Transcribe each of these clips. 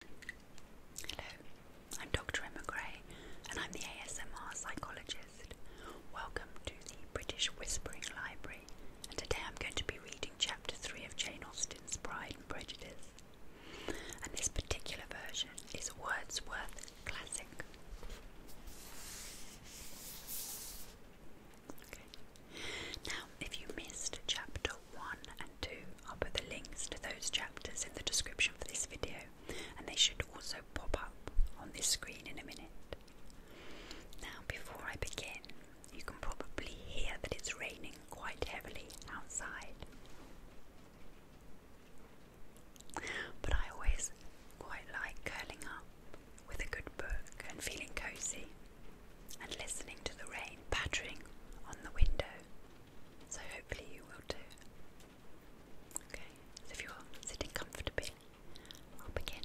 Hello, I'm Dr. Emma Gray and I'm the ASMR psychologist. Welcome to the British Whispering Library and today I'm going to be reading chapter 3 of Jane Austen's Pride and Prejudice. And this particular version is Wordsworth Classic. Now, if you missed chapter 1 and 2, I'll put the links to those chapters in the description for this video, and they should also pop up on this screen in a minute. Now, before I begin, you can probably hear that it's raining quite heavily outside. But I always quite like curling up with a good book and feeling cozy and listening to the rain pattering on the window. So hopefully you will too. Okay, if you're sitting comfortably, I'll begin.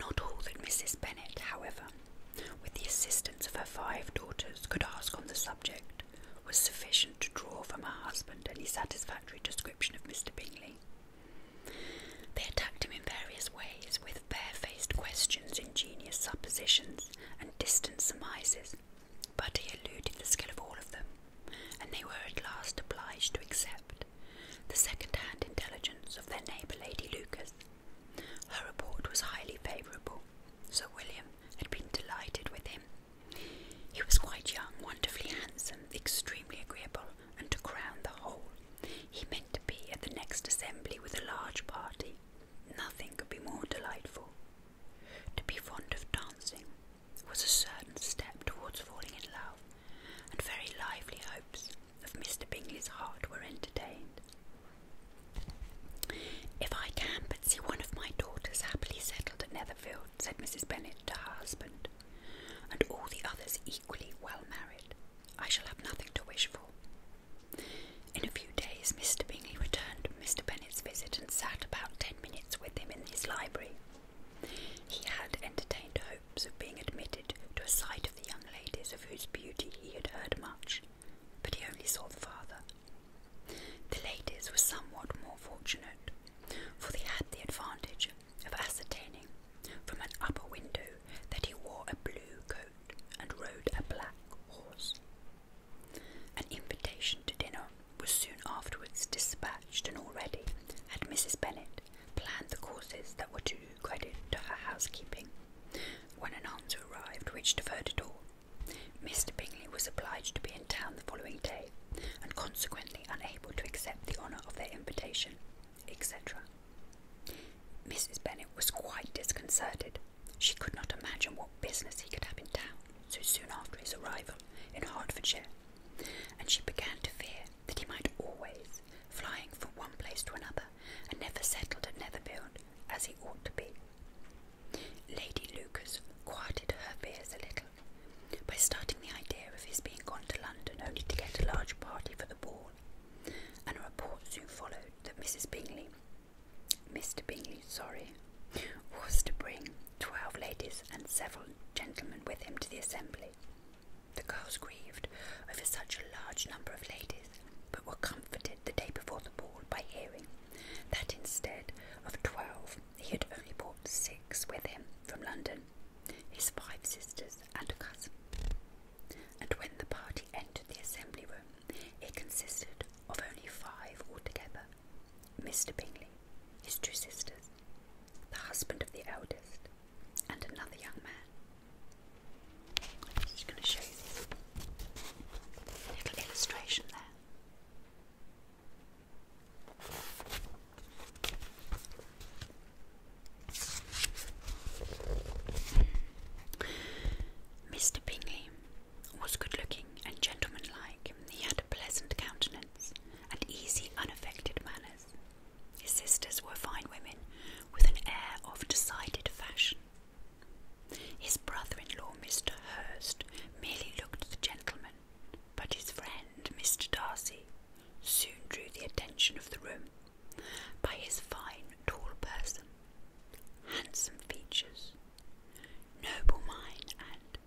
Not all that Mrs. Bennet, however, with the assistance of her five daughters, could ask on the subject was sufficient to draw from her husband any satisfactory description of Mr. Bingley. They attacked him in various ways with fair-faced questions, ingenious suppositions, and distant surmises, but he eluded the skill of all of them, and they were at last obliged to accept the second hand intelligence of their neighbour Lady Lucas. Her report was highly favourable. Sir William had been delighted with him. He was quite young, wonderfully handsome, extremely agreeable, and to crown the whole, he meant to be at the next assembly with a large party. Nothing could be more delightful. To be fond of dancing was a certain step towards falling in love, and very lively hopes of Mr. Bingley's heart were entertained. If I can but see one of my daughters happily settled at Netherfield, said Mrs. Bennet to her husband, and all the others equally well married. I shall have nothing to wish for. In a few days, Mr. Bingley returned from Mr. Bennet's visit and sat about ten minutes with him in his library. He had entertained hopes of being admitted to a sight of the young ladies of whose beauty he had heard much, but he only saw the father. The ladies were somewhat more fortunate, for they had the advantage of ascertaining from an upper window that he wore a blue coat and rode a black horse. An invitation to dinner was soon afterwards dispatched, and already had Mrs. Bennet planned the courses that were to do credit to her housekeeping, when an answer arrived which deferred it all. Mr. Bingley was obliged to be in town the following day, and consequently unable to accept the honour of their invitation, etc. Mrs. Bennet was quite disconcerted. She could not imagine what business he could have in town so soon after his arrival in Hertfordshire, and she began to fear that he might always, flying from one place to another, and never settle at Netherfield as he ought to be. Lady Lucas quieted her fears a little by starting the idea of his being gone to London only to get a large party for the ball, and a report soon followed that Mrs. Bingley, Mr. Bingley, sorry, was to bring twelve ladies and several gentlemen with him to the assembly. The girls grieved over such a large number of ladies, but were comforted the day before the ball by hearing that instead of twelve, he had only brought six with him from London, his five sisters, and a cousin. And when the party entered the assembly room, it consisted of only five altogether Mr. Bingley, his two sisters, the husband of the eldest, and another young man. I'm just going to show you this little illustration there. Mr. Bingley was good looking and gentleman gentlemanlike. He had a pleasant countenance and easy, unaffected manners. His sisters were fine women with an air of decided fashion. His brother in law, Mr. Hurst, merely looked the gentleman but his friend, Mr. Darcy, soon drew the attention of the room by his fine, tall person, handsome features, noble mind, and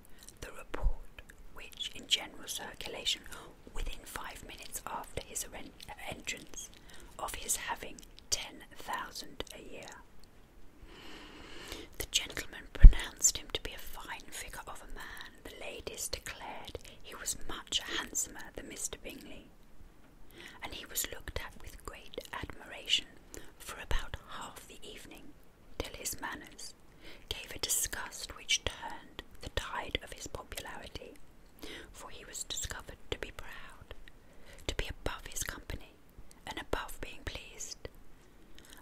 the report which, in general circulation, within five minutes after his entrance, of his having ten thousand a year. The gentleman pronounced him to be a fine figure of a man, the ladies declared he was much handsomer than Mr. Bingley, and he was looked at with great admiration for about half the evening, till his manners gave a disgust which turned the tide of his popularity, for he was discovered to be proud, to be above his company, and above being pleased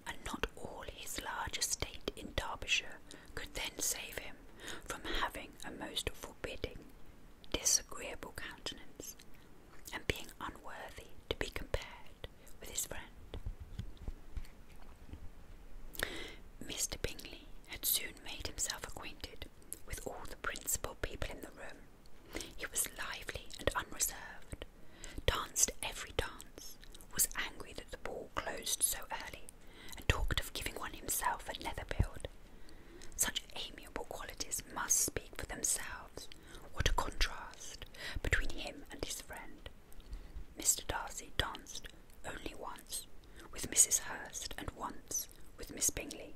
and not all his large estate in Derbyshire could then save him from having a most forbidding, disagreeable countenance, and being unworthy to be compared with his friend. Mr. Bingley had soon made himself acquainted with all the principal people in the room. He was lively and unreserved, danced every dance, was angry that the ball closed so early, and talked of giving one himself at Netherfield. Such amiable qualities must speak for themselves. What a contrast between him and his friend. Mr. Darcy danced only once with Mrs. Hurst and once with Miss Bingley,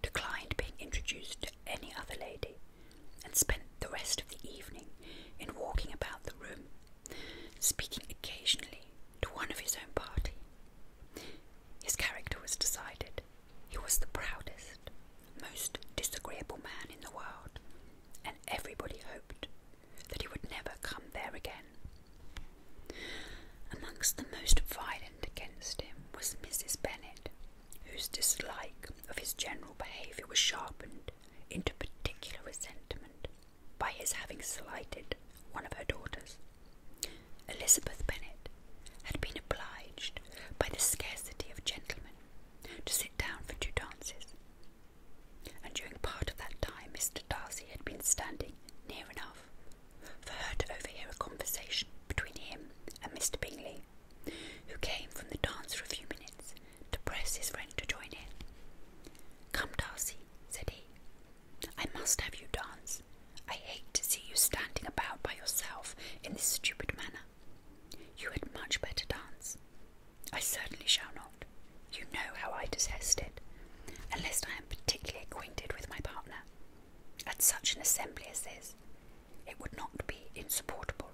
declined being introduced to any other lady, and spent the rest of the evening in walking about the room speaking occasionally to one of his own party. His character was decided. He was the proudest, most disagreeable man in the world, and everybody hoped that he would never come there again. Amongst the most violent against him was Mrs. Bennet, whose dislike of his general behaviour was sharpened into particular resentment by his having slighted one of her daughters. Elizabeth Bennet had been obliged by the scarcity of gentlemen to sit down for two dances, and during part of that time Mr. Darcy had been standing near enough for her to overhear a conversation between him and Mr. Bingley, who came from the dance for a few minutes to press his friend to join in. Come, Darcy, said he. I must have you dance. I hate to see you standing about by yourself in this stupid manner. You had much better dance. I certainly shall not. You know how I detest it, unless I am particularly acquainted with my partner. At such an assembly as this, it would not be insupportable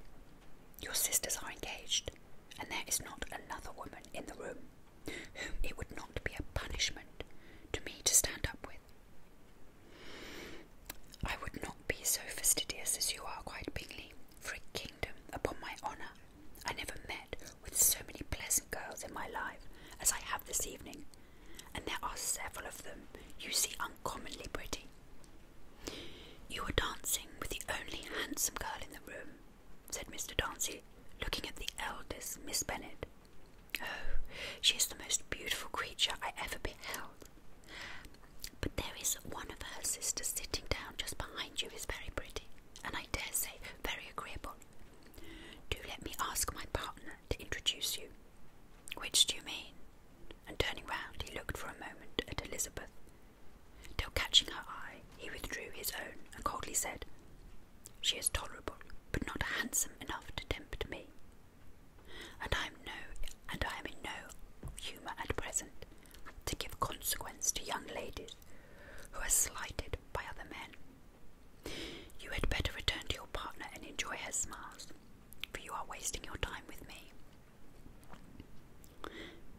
your sisters are engaged, and there is not another woman in the room whom it would not be a punishment to me to stand up with. I would not be so fastidious as you are, quite, Bingley, for a kingdom upon my honour. I never met with so many pleasant girls in my life as I have this evening, and there are several of them you see uncommonly pretty. You are dancing with the only handsome girl in the room, said Mr. Darcy, looking at the eldest Miss Bennet. Oh, she is the most beautiful creature I ever beheld. But there is one of her sisters sitting down just behind you is very pretty, and I dare say very agreeable. Do let me ask my partner to introduce you. Which do you mean? And turning round, he looked for a moment at Elizabeth, Till catching her eye, he withdrew his own and coldly said, She is tolerable, but not handsome enough to tempt me. And I am no and I am in no humour at present to give consequence to young ladies who are slighted by other men. You had better return to your partner and enjoy her smiles, for you are wasting your time with me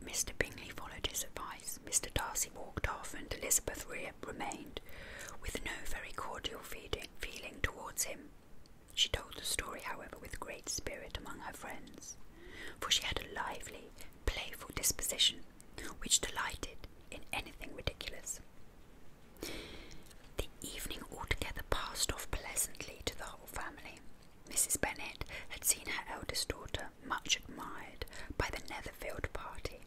Mr. Bingley followed his advice. Mr. Darcy walked off, and Elizabeth remained, with no very cordial feeling towards him. She told the story, however, with great spirit among her friends, for she had a lively, playful disposition which delighted in anything ridiculous. The evening altogether passed off pleasantly to the whole family. Mrs. Bennet had seen her eldest daughter much admired by the Netherfield party.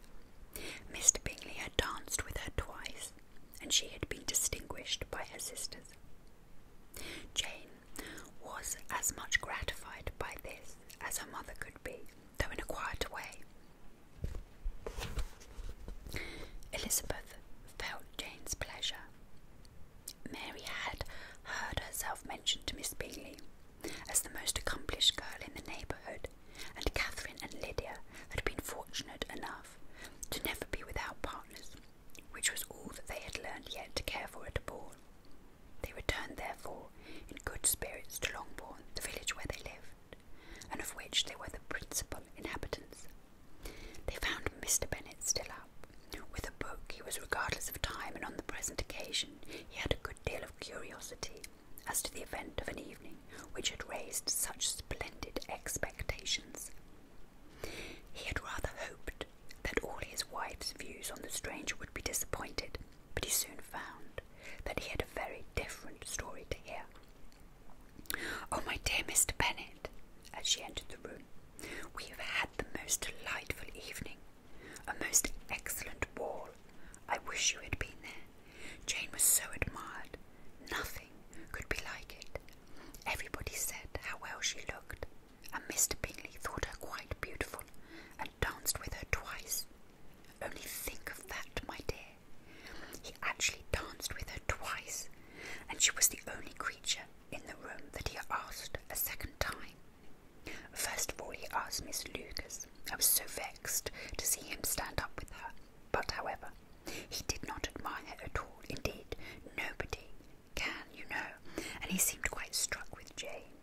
Mr. Bingley had danced with her twice, and she had been distinguished by her sisters. Jane was as much gratified by this as her mother could be, though in a quiet way. Elizabeth felt Jane's pleasure, Mary had heard herself mentioned to Miss Bingley as the most accomplished girl in the neighbourhood, and Catherine and Lydia had been fortunate enough to never be without partners, which was all that they had learned yet to care for at a ball. They returned, therefore, in good spirits to Longbourn, the village where they lived, and of which they were the principal inhabitants. They found Mr. Bennet still up, with a book, he was regardless of time, and on the present occasion, he had a good deal of curiosity as to the event of an evening which had raised such splendid expectations. He had rather hoped that all his wife's views on the stranger would be disappointed, but he soon found that he had a very different story to hear. Oh, my dear Mr. Bennet, as she entered the room, we have had the most delightful evening. A most excellent ball! I wish you had been there. Jane was so admired. Nothing could be like it. Everybody said how well she looked, and Mr. Bingley thought her quite beautiful and danced with her twice. Only think of that, my dear. He actually danced with her twice, and she was the only creature in the room that he asked a second time. First of all, he asked Miss Lucas. I was so vexed to see him stand up with her. But, however, he did not admire her at all. Indeed, nobody can, you know. And he seemed quite struck with Jane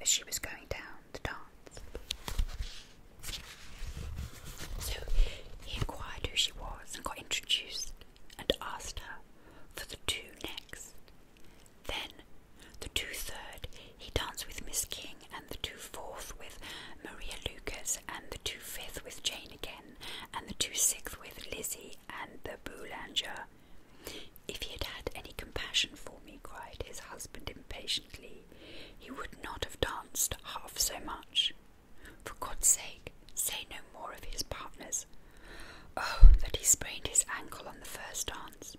as she was going down to dance. So he inquired who she was and got introduced and asked her for the two next then, the two third, he danced with Miss King, and the two fourth with Maria Lucas, and the two fifth with Jane again, and the two sixth with Lizzie and the Boulanger. If he had had any compassion for me, cried his husband impatiently, he would not have danced half so much. For God's sake, say no more of his partners. Oh, that he sprained his ankle on the first dance.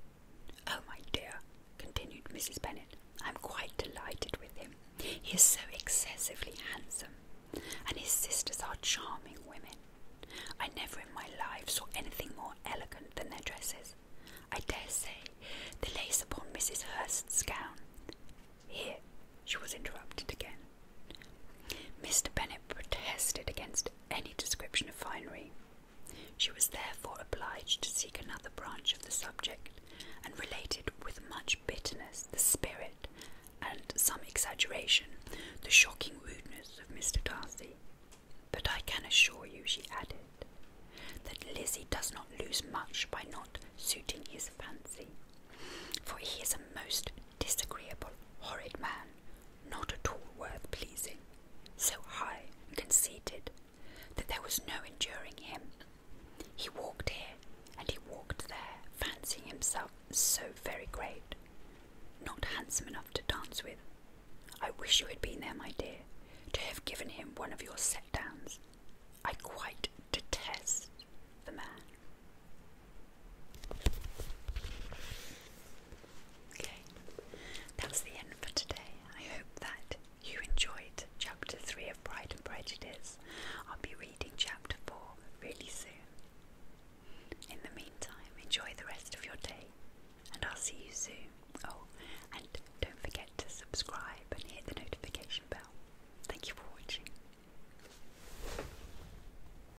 Oh, my dear, continued Mrs. Bennet, I'm quite delighted with him. He is so excessively handsome, and his sisters are charming women. I never in my life saw anything more elegant than their dresses. I dare say the lace upon Mrs. Hurst's gown. Here she was interrupted again. Mr. Bennet protested against any description of finery. She was therefore obliged to seek another branch of the subject, and related with much bitterness the spirit and some exaggeration the shocking rudeness of Mr. Darcy. But I can assure you, she added, that Lizzy does not lose much by not suiting his fancy, for he is a most disagreeable, horrid man not at all worth pleasing, so high and conceited that there was no enduring him. He walked here and he walked there, fancying himself so very great, not handsome enough to dance with. I wish you had been there, my dear, to have given him one of your set downs. I quite detest the man. Okay, that's the end for today. I hope that you enjoyed chapter 3 of Pride and Prejudice. I'll be reading chapter 4 really soon. In the meantime, enjoy the rest of your day and I'll see you soon. Oh, and don't forget to subscribe and hit the notification bell. Thank you for watching.